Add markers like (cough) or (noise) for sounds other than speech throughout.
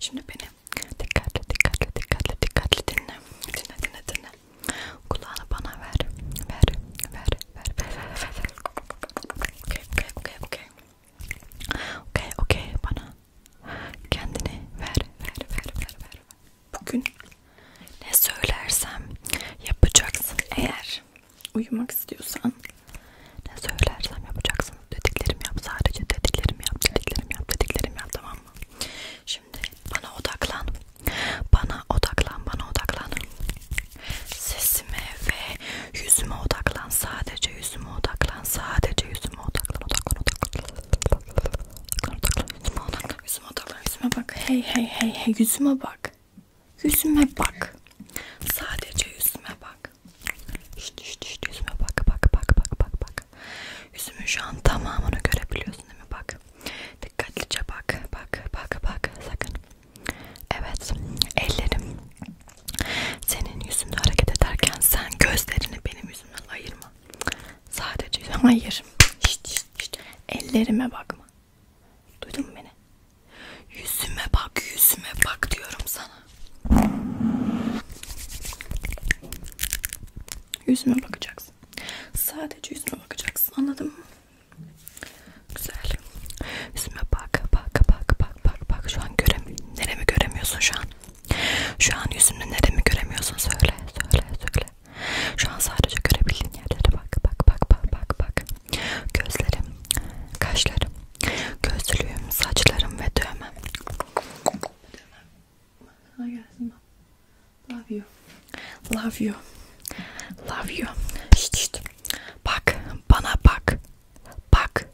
Şimdi beni dikkatli dikkatli dikkatli dikkatli dinle. Dinle dinle dinle. Kulağını bana ver. Ver. Ver ver, ver, ver, ver, ver. Okay, okay, okay, okay. Okay, okay, bana kendini ver, ver, ver, ver, ver. Bugün ne söylersem yapacaksın eğer uyumak istiyorsan ne söylersem yapacaksın dediklerimi yap sadece dediklerimi yap dediklerimi yap dediklerimi yap tamam mı? Şimdi bana odaklan bana odaklan, bana odaklan. Sesime ve yüzüme odaklan. Sadece yüzüme odaklan. Sadece yüzüme odaklan. Odaklan, odaklan. Odaklan, odaklan. Yüzüme odaklan. Yüzüme odaklan. Yüzüme bak. Hey, hey, hey, hey. Yüzüme bak. Yüzüme bak. Sadece yüzüme bak. Şşt, şşt, şşt. Yüzüme bak, bak, bak, bak, bak, bak. Yüzümün şu an tamamını görebiliyorsun değil mi? Bak. Dikkatlice bak. Bak, bak, bak. Sakın. Evet, ellerim senin yüzünde hareket ederken sen gözlerini benim yüzümden ayırma. Sadece hayır. Şişt, şişt, şişt. Ellerime bakma. Duydun mu beni? Yüzüme bak, yüzüme bak diyorum sana. Yüzüme bakacaksın. Sadece yüzüme bakacaksın. Anladın mı? Güzel. Yüzüme bak, bak, bak, bak, bak, bak. Şu an göremi neremi göremiyorsun şu an? Şu an yüzümde neremi göremiyorsun? Söyle, söyle, söyle. Şu an sadece görebildiğin yerlere bak, bak, bak, bak, bak, bak. Gözlerim, kaşlarım, gözlüğüm, saçlarım ve dövmem. Dövmem. I guess. Love you. Love you. Love you. Şişt şişt. Bak bana bak. Bak.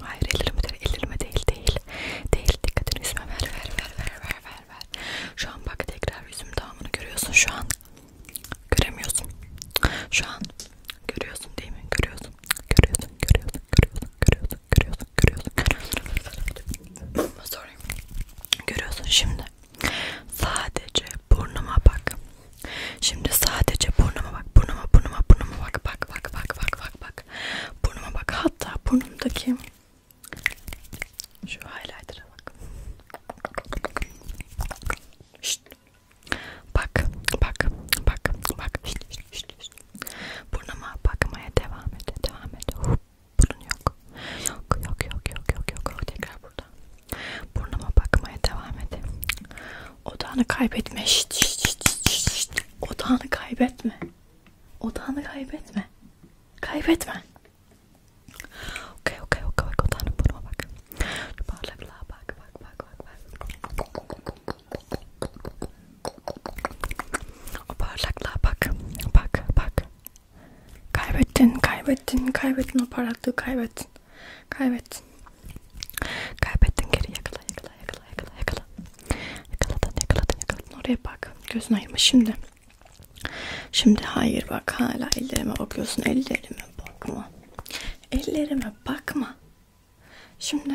Hayır ellerime değil, ellerime değil, değil. Değil, dikkatini yüzüme ver, ver, ver, ver, ver, ver, ver. Şu an bak tekrar yüzüm tamamını görüyorsun şu an. Göremiyorsun. Şu an görüyorsun değil mi? Görüyorsun. Görüyorsun, görüyorsun, görüyorsun, görüyorsun, görüyorsun, görüyorsun. görüyorsun. Sorry. Görüyorsun şimdi. Sadece burnuma bak. Şimdi sadece burnuma bak. Burnuma burnuma burnuma bak. Bak bak bak bak bak bak. Burnuma bak. Hatta burnumdaki şu highlighter'a bak. Şşt. Bak bak bak bak. Şşt, şşt, şşt. Burnuma bakmaya devam et. Devam et. Hup. Bunun yok. Yok yok yok yok yok yok. Tekrar burada. Burnuma bakmaya devam edeyim. Odağını kaybetme. Şişt, şişt, şişt, şişt. Odağını kaybetme. Odağını kaybetme. Kaybetme. Okey okey okey. Odağını burnuma bak. Şu parlaklığa bak bak bak bak. bak. O parlaklığa bak. Bak bak. Kaybettin, kaybettin, kaybettin o parlaklığı kaybettin. Kaybettin. Kaybettin geri yakala yakala yakala yakala yakala. Yakaladın yakaladın yakaladın oraya bak. Gözün ayırma şimdi. Şimdi hayır bak hala ellerime bakıyorsun. Ellerime bakma. Ellerime bakma. Şimdi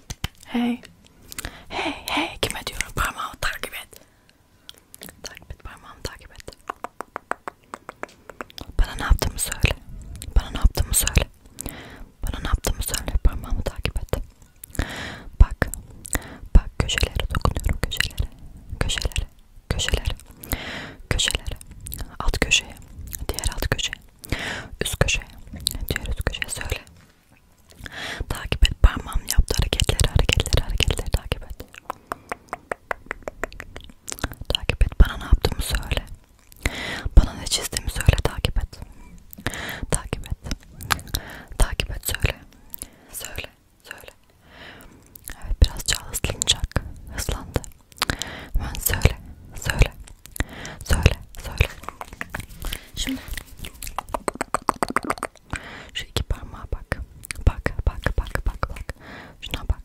Hey. Hey hey kime diyorum? Parmağımı takip et. Takip et parmağımı takip et. Bana ne yaptığımı söyle. Bana ne yaptığımı söyle. Bana ne yaptığımı söyle. Parmağımı takip et. Bak. Bak köşelere dokunuyorum köşelere. Köşelere. Köşelere. Köşelere. Alt köşeye. Diğer alt köşeye. Üst köşeye. Diğer üst köşeye söyle. Takip et parmağım yaptı hareketleri, hareketleri, hareketleri takip et. Takip et bana ne yaptığımı söyle. Bana ne çizdiğimi söyle takip et. Takip et. Takip et söyle. Söyle. Söyle. Evet birazca hızlanacak. Hızlandı. Hemen söyle. Söyle. Söyle, söyle. Şimdi şu iki parmağa bak. Bak, bak, bak, bak, bak. Şuna bak.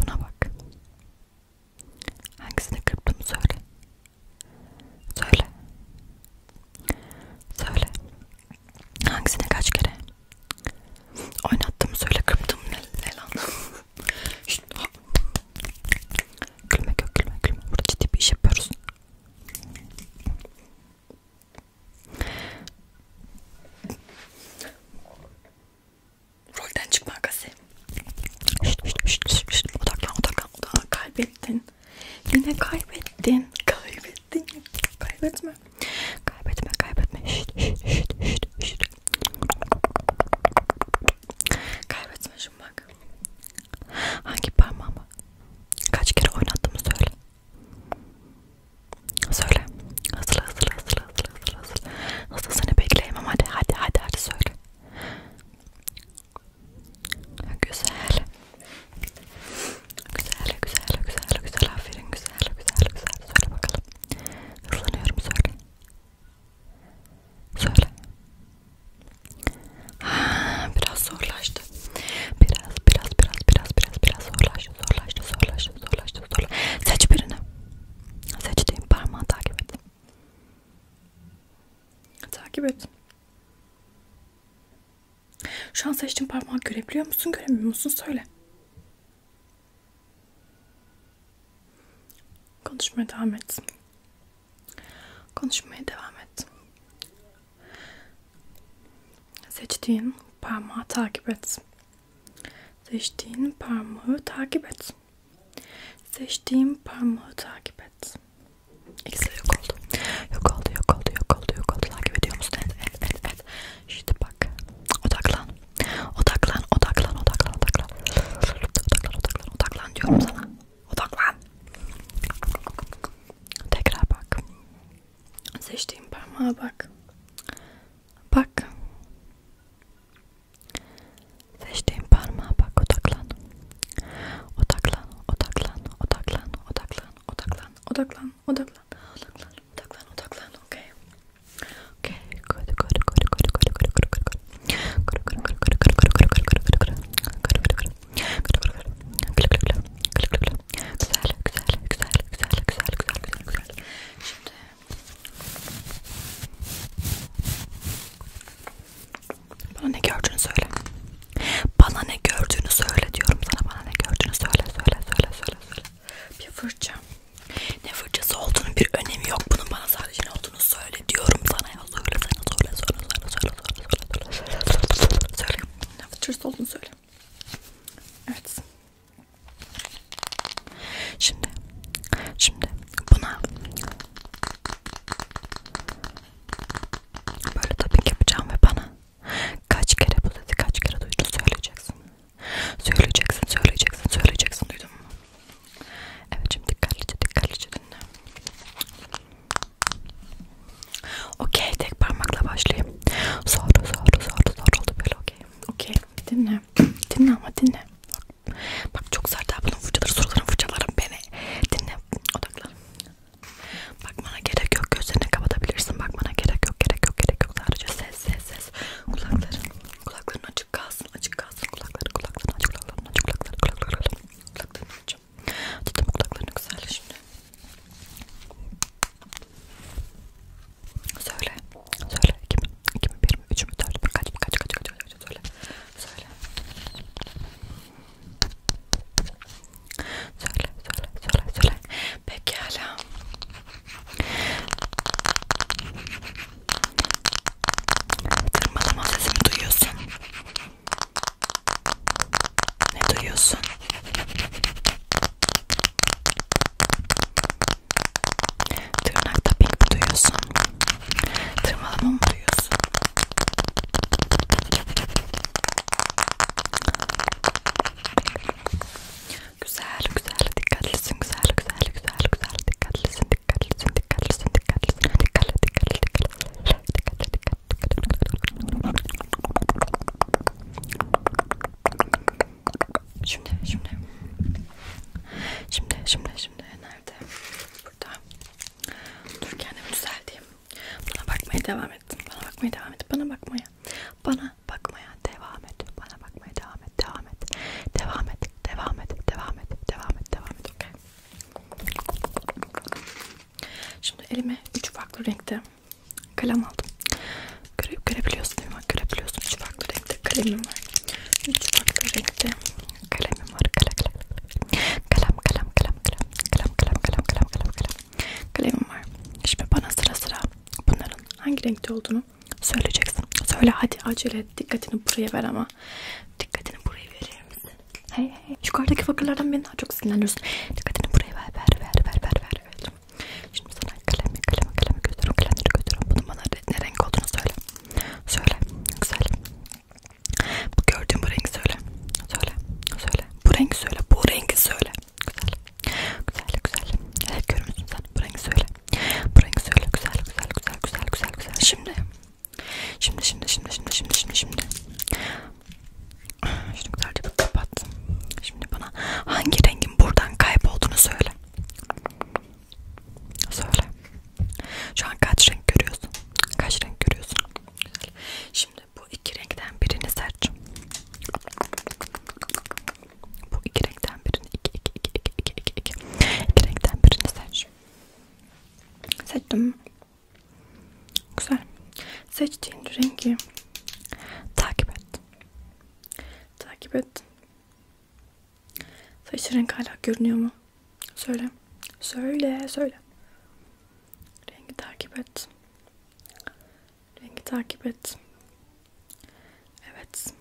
Buna bak. Hangisini kırptım söyle. Söyle. Söyle. Hangisine kaç kere oynattım söyle kırptım ne, ne lan? Şşt, gülmek yok gülmek gülmek burada ciddi bir iş yapıyoruz rolden çıkma gazı odaklan odaklan odaklan kaybettin yine kaybettin kaybettin kaybetme kaybetme kaybetme şşt, şşt, şşt, şşt. kaybetme unutmuşum bak. Hangi parmağımı? Kaç kere oynattığımı söyle. Söyle. Hazırla hazırla hazırla hazırla hazırla. Nasıl seni bekleyemem hadi hadi hadi hadi söyle. Güzel. Güzel güzel güzel güzel aferin güzel güzel güzel söyle bakalım. Hızlanıyorum söyle. Söyle. Ha, biraz zorlaştı. Biraz, biraz, biraz, biraz, biraz, biraz zorlaştı, zorlaştı, zorlaştı, zorlaştı, zorlaştı. Seç birini. Seçtiğim parmağı takip et. Takip et. Şu an seçtiğim parmağı görebiliyor musun, göremiyor musun? Söyle. Konuşmaya devam et. Konuşmaya devam et. Seçtiğin parmağı takip et. Seçtiğin parmağı takip et. Seçtiğin parmağı takip et. İkisi yok oldu. Yok oldu, yok oldu, yok oldu, yok oldu. Takip ediyor musun? Evet, evet, evet, evet. Şimdi bak. Odaklan. Odaklan, odaklan, odaklan, odaklan. Odaklan, odaklan, odaklan diyorum sana. Odaklan. Tekrar bak. Seçtiğim parmağa bak. Bak. Seçtiğim parmağa bak. Odaklan. Odaklan. Odaklan. Odaklan. Odaklan. Odaklan. Odaklan. Odaklan. Odaklan. Odaklan. Odaklan. Okay. Okay. Good. Good. Good. Good. Good. Good. Good. Good. Güzel, güzel, güzel, güzel, güzel, güzel, güzel, güzel. Şimdi bana ne gördüğünü söyle. Bana ne gördüğünü söyle diyorum sana. Bana ne gördüğünü söyle, söyle, söyle, söyle, söyle. Bir fırça. Ne fırçası olduğunun bir önemi yok. Bunun bana sadece ne olduğunu söyle diyorum sana ya söyle sana söyle söyle söyle söyle söyle söyle söyle söyle Türk olduğunu söyle. Evet. Şimdi, şimdi buna böyle tabii yapacağım ve bana kaç kere bu dedi kaç kere duydun söyleyeceksin. Söyleyeceksin, söyleyeceksin, söyleyeceksin duydun mu? Evet şimdi dikkatlice dikkatlice dinle. Okey tek parmakla başlayayım. Zor zor zor zor oldu böyle okey. Okey dinle. (clears throat) Dinle ama dinle. Bak çok sert ha bunun fırçaları soruların fırçaları beni. Dinle odaklan. Bakmana gerek yok gözlerini kapatabilirsin. Bakmana gerek yok gerek yok gerek yok sadece ses ses ses kulakların Kulakların açık kalsın, açık kalsın. Kulakları, kulakları, aç kulaklarını, aç kulaklarını, kulaklarını, kulaklarını açacağım. Tuttum kulaklarını güzel şimdi. Söyle, söyle. İki mi, iki mi, bir mi, üç mü, dört mü, kaç mı, kaç, kaç, kaç, kaç, söyle. Söyle. Söyle, söyle, söyle, söyle. Pekala. Tırmalama sesimi duyuyorsun. Ne duyuyorsun? Tırnakta pink duyuyorsun. Tırmalama mı duyuyorsun? Güzel, güzel, dikkatlisin, güzel, güzel, güzel, güzel, dikkatlisin, dikkatlisin, dikkatlisin, dikkatlisin, dikkatli, dikkatli, dikkatli, dikkatli, dikkatli, dikkatli. Şimdi, şimdi, şimdi, şimdi, şimdi nerede? Burada. Dur kendimi düzelteyim. Bana bakmaya devam et. Bana bakmaya devam et. Bana bakmaya. Bana bakmaya devam et. Bana bakmaya devam et. Devam et. Devam et. Devam et. Devam et. Devam et. Devam et. Devam et. Okay. Şimdi elime üç farklı renkte kalem aldım. Göre, görebiliyorsun değil mi? Görebiliyorsun. Üç farklı renkte kalemim var. Üç farklı renkte kalemim var. Kalem, kalem, kalem, kalem, kalem, kalem, kalem, kalem, kalem, kalem, kalem. Kalemim var. Şimdi bana sıra sıra bunların hangi renkte olduğunu söyleyeceksin. Söyle hadi acele et. Dikkatini buraya ver ama Dikkatini buraya verir misin? Hey hey. Yukarıdaki fakirlerden beni daha çok sinirlendiriyorsun. Dikkatini buraya ver ver ver ver ver ver. ver. Şimdi sana kalemi kalemi kalemi götürüyorum. Kalemleri götürüyorum. Bunun bana ne renk olduğunu söyle. Söyle. Güzel. Bu gördüğün bu rengi söyle. Söyle. Söyle. Bu rengi söyle. Bu rengi söyle. Güzel. Güzel güzel. Evet görüyorsun sen. Bu rengi söyle. Bu rengi söyle. Güzel güzel güzel güzel güzel. Şimdi Şimdi şimdi şimdi şimdi şimdi şimdi şimdi. Ah, şunu güzelce bir kapattım. Şimdi bana hangi rengin buradan kaybolduğunu söyle. Söyle. Şu an kaç renk görüyorsun? Kaç renk görüyorsun? Güzel. Şimdi bu iki renkten birini seç. Bu iki renkten birini iki iki iki iki iki iki iki iki renkten birini seç. Seçtim. Güzel. Seçtiğin rengi takip et. Takip et. Saç renk hala görünüyor mu? Söyle. Söyle, söyle. Rengi takip et. Rengi takip et. Evet.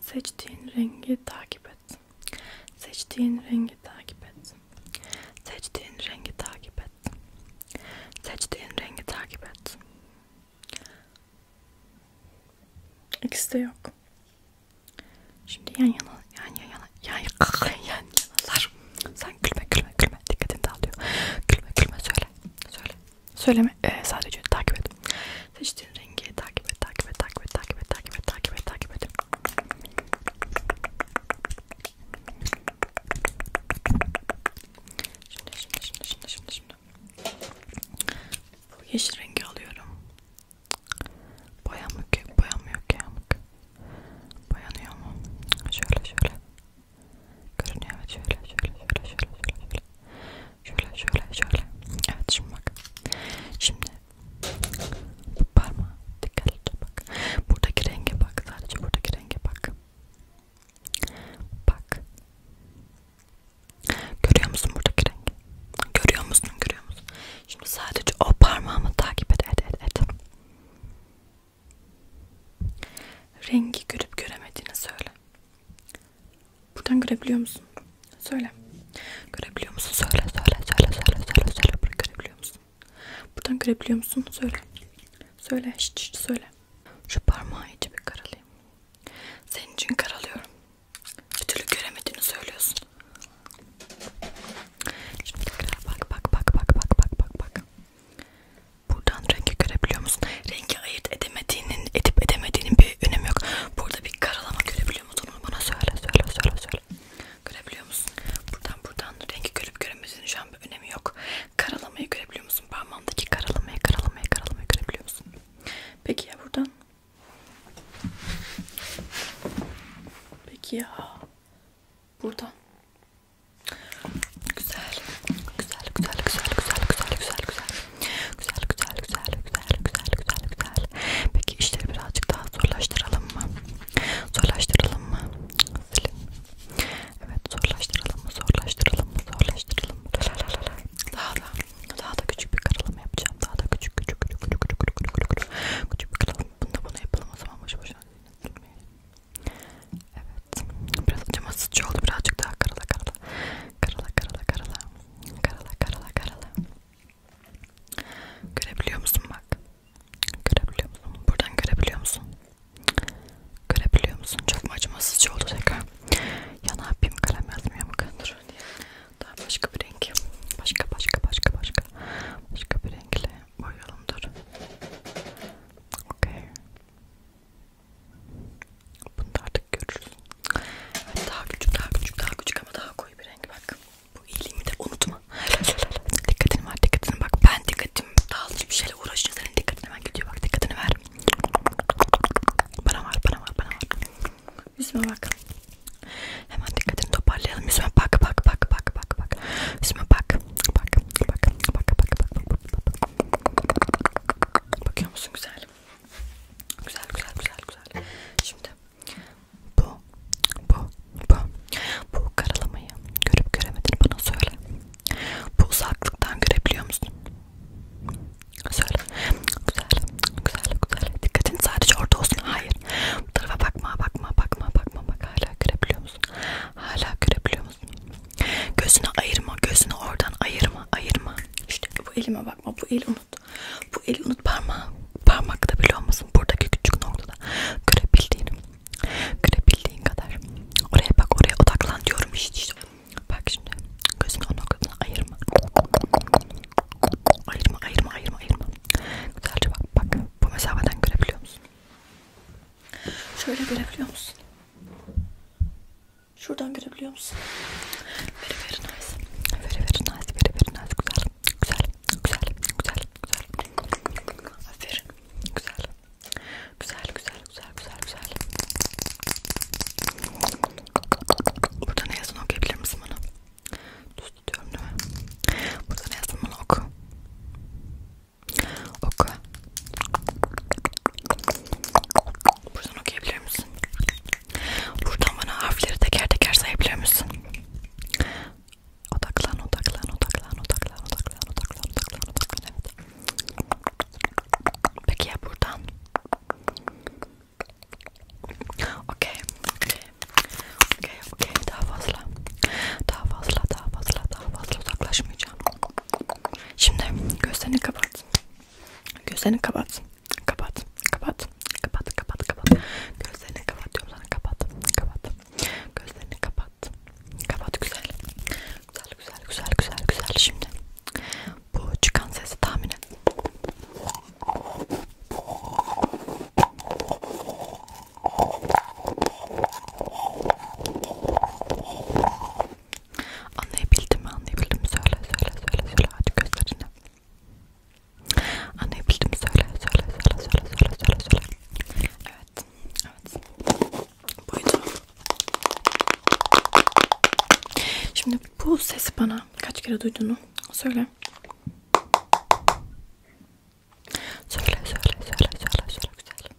Seçtiğin rengi takip et. Seçtiğin rengi takip et. Seçtiğin rengi takip et. Seçtiğin rengi takip et. İkisi de yok. Şimdi yan yana, yan yana, yan yana, yan (laughs) yanalar. Sen gülme, gülme, gülme. Dikkatini dağılıyor. Gülme, gülme. Söyle, söyle. Söyleme. Ee, sadece takip et. Seçtiğin rengi takip et, takip et, takip et, takip et, takip et, takip et, takip et. Şimdi, şimdi, şimdi, şimdi, şimdi, şimdi. Bu yeşil rengi alıyorum. Boyamık, boyamıyor ki yamuk. Boyanıyor mu? Şöyle, şöyle. Görünüyor evet şöyle, şöyle, şöyle, şöyle, şöyle. Şöyle şöyle şöyle. Evet şimdi bak. Şimdi bu parmağı dikkatlice bak. Buradaki renge bak. Sadece buradaki renge bak. Bak. Görüyor musun buradaki rengi? Görüyor musun? Görüyor musun? Şimdi sadece o parmağımı takip et et et et. Rengi görüp göremediğini söyle. Buradan görebiliyor musun? Söyle. Görebiliyor musun? Söyle, söyle, söyle, söyle, söyle, söyle. Buradan görebiliyor musun? Buradan görebiliyor musun? Söyle. Söyle, şşt, şşt, söyle. Şu parmağı iyice bir karalayayım. Senin için karalıyorum. Bir türlü göremediğini söylüyorsun. Şimdi tekrar bak, bak, bak, bak, bak, bak, bak, bak. Buradan rengi görebiliyor musun? Rengi ayırt edemediğinin, edip edemediğinin bir önemi yok. Burada bir karalama görebiliyor musunuz? Bana söyle söyle söyle söyle. Görebiliyor musun? Buradan buradan rengi görüp göremediğini şu an bir önemi yok. Karalamayı görebiliyor musun? Parmağımdaki karalamayı karalamayı karalamayı görebiliyor musun? Peki ya buradan? Peki ya buradan? Güzel. Güzel, güzel, güzel, güzel, güzel, güzel, güzel. Güzel güzel güzel güzel güzel güzel güzel. Peki işleri birazcık daha zorlaştıralım mı? Zorlaştıralım mı? Silim. Evet zorlaştıralım mı? Zorlaştıralım mı? Zorlaştıralım mı? Daha da daha da küçük bir karalama yapacağım. Daha da küçük küçük küçük küçük küçük küçük küçük küçük küçük bir karalama. Bunu da bana yapalım o zaman boş boşuna. Evet. Biraz acımasızca oldu. Birazcık daha karala karala. Karala karala karala. Karala karala karala. Görebiliyor musun bak? Görebiliyor musun? Buradan görebiliyor musun? Görebiliyor musun? Çok mu acımasızca oldu tekrar? Ya ne yapayım kalem yazmıyor mu kandır diye. Daha başka bir renk. Başka başka başka başka. Başka bir renkle boyayalım dur. Okay. Bunu da artık görürüz. Hani daha küçük, daha küçük, daha küçük ama daha koyu bir renk bak. Bu iyiliğimi de unutma. dikkatini ver, dikkatini bak. Ben dikkatim dağılıcı bir şeyle uğraşınca senin dikkatini ben gidiyor bak. Dikkatini ver. Bana var, bana var, bana var. Yüzüme bak. Hemen dikkatini toparlayalım. Yüzüme bak, bak, bak, bak, bak, bak. Yüzüme bak, bak, bak, bak, bak, bak, bak, bak. Bakıyor musun güzelim? Güzel güzel güzel güzel. Şimdi bu bu bu bu karalamayı görüp göremedin bana söyle. Bu uzaklıktan görebiliyor musun? Söyle. Güzel güzel güzel. Dikkatin sadece orada olsun. Hayır. Bu tarafa bakma bakma bakma bakma bak hala görebiliyor musun? Hala görebiliyor musun? Gözünü ayırma, gözünü oradan ayırma, ayırma. İşte bu elime bakma, bu elime unut. Bu eli unut parmağı. Parmakta bile olmasın. Buradaki küçük noktada görebildiğini. Görebildiğin kadar. Oraya bak oraya odaklan diyorum işte. işte. Bak şimdi gözünü o noktadan ayırma. Ayırma ayırma ayırma ayırma. Güzelce bak bak. Bu mesafeden görebiliyor musun? Şöyle görebiliyor musun? Şuradan görebiliyor musun? Very very nice. Very very nice. Very very nice. Güzel. Güzel. Güzel. Güzel. Güzel. Aferin. Güzel. Güzel. Güzel. Güzel. Güzel. Güzel. Burada ne yazın okuyabilir misin bana? Düz tutuyorum değil mi? Burada ne yazın bana oku. Oku. Buradan okuyabilir misin? Buradan bana harfleri teker teker sayabilir misin? Odaklan, odaklan, odaklan, odaklan, odaklan, odaklan, odaklan, odaklan, evet. Peki ya buradan? Okey, okey, okey, okey, daha fazla, daha fazla, daha fazla, daha fazla uzaklaşmayacağım. Şimdi gözlerini kapat, gözlerini kapat. Kapat, kapat, kapat, kapat, kapat. Gözlerini kapat diyorum sana, kapat, kapat. Gözlerini kapat, kapat güzel. Güzel, güzel, güzel, güzel, güzel. Şimdi bu çıkan sesi tahmin et. Anlayabildim mi? Anlayabildim mi? Söyle, söyle, söyle, söyle. Hadi gözlerini. Anlayabildim mi? Söyle, söyle, söyle, söyle, söyle, söyle, söyle. Evet, evet. Buydu. Şimdi bu sesi bana kaç kere duyduğunu söyle. Söyle, söyle, söyle, söyle, söyle güzel.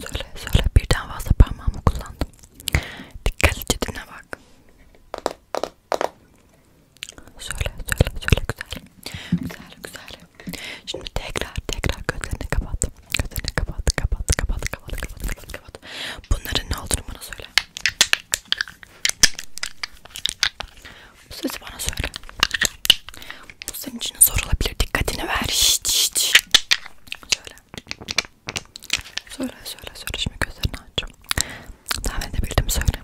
Söyle söyle birden fazla parmağımı kullandım. Dikkatlice dinle bak. Söyle söyle söyle güzel. Güzel güzel. Şimdi tekrar tekrar gözlerini kapat. Gözlerini kapat kapat kapat kapat kapat kapat kapat. Bunların ne olduğunu bana söyle. Bu sesi bana söyle. Bu senin için zor olabilir. Dikkatini ver. Şişt, şişt. Söyle söyle. Söyle söyle söyle şimdi gözlerini açacağım. Tahmin edebildim söyle.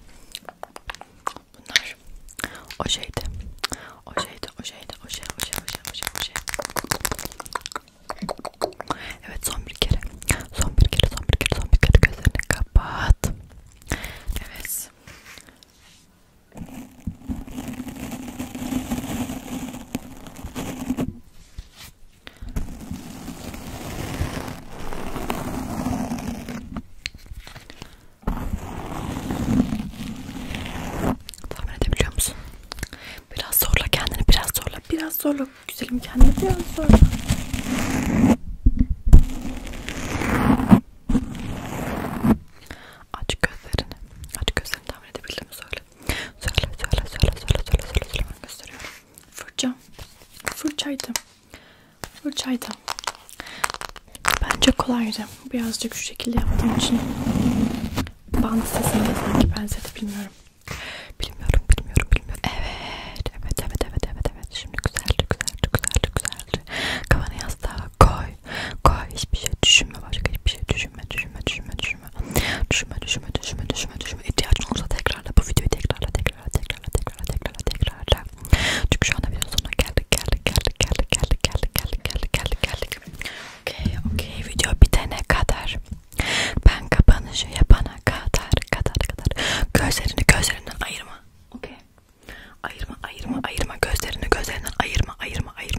Bunlar o şeydi. O şeydi, o şeydi, o şey, o şey, o şey, o şey, o şey. Evet son bir kere. Son bir kere, son bir kere, son bir kere gözlerini kapat. Evet. Tahmin edebiliyor musun? Biraz zorla kendini, biraz zorla, biraz zorla güzelim kendini, biraz zorla. Aç gözlerini, aç gözlerini tahmin edebildiğimi söyle. Söyle söyle söyle söyle söyle söyle söyle ben gösteriyorum. Fırça. Fırçaydı. Fırçaydı. Bence kolaydı. Birazcık şu şekilde yaptığım için. Bant sesini de sanki benzedi bilmiyorum. Bilmiyorum bilmiyorum bilmiyorum. Evet evet evet evet evet evet. Şimdi güzeldi güzeldi güzeldi güzeldi. Kafanı yastığa koy koy koy hiçbir şey düşünme başka hiçbir şey düşünme düşünme düşünme düşünme düşünme düşünme düşünme düşünme düşünme ihtiyacın olursa tekrarla bu videoyu tekrarla tekrarla tekrarla tekrarla tekrarla tekrarla çünkü şu anda video sonuna geldik geldik geldik geldik geldik geldik geldik geldik geldik geldik okey okey video bitene kadar ben kapanışı yapana kadar kadar kadar gözlerini gözlerinden ayırma okey ayırma ayırma ayırma gözlerini gözlerinden ayırma ayırma ayırma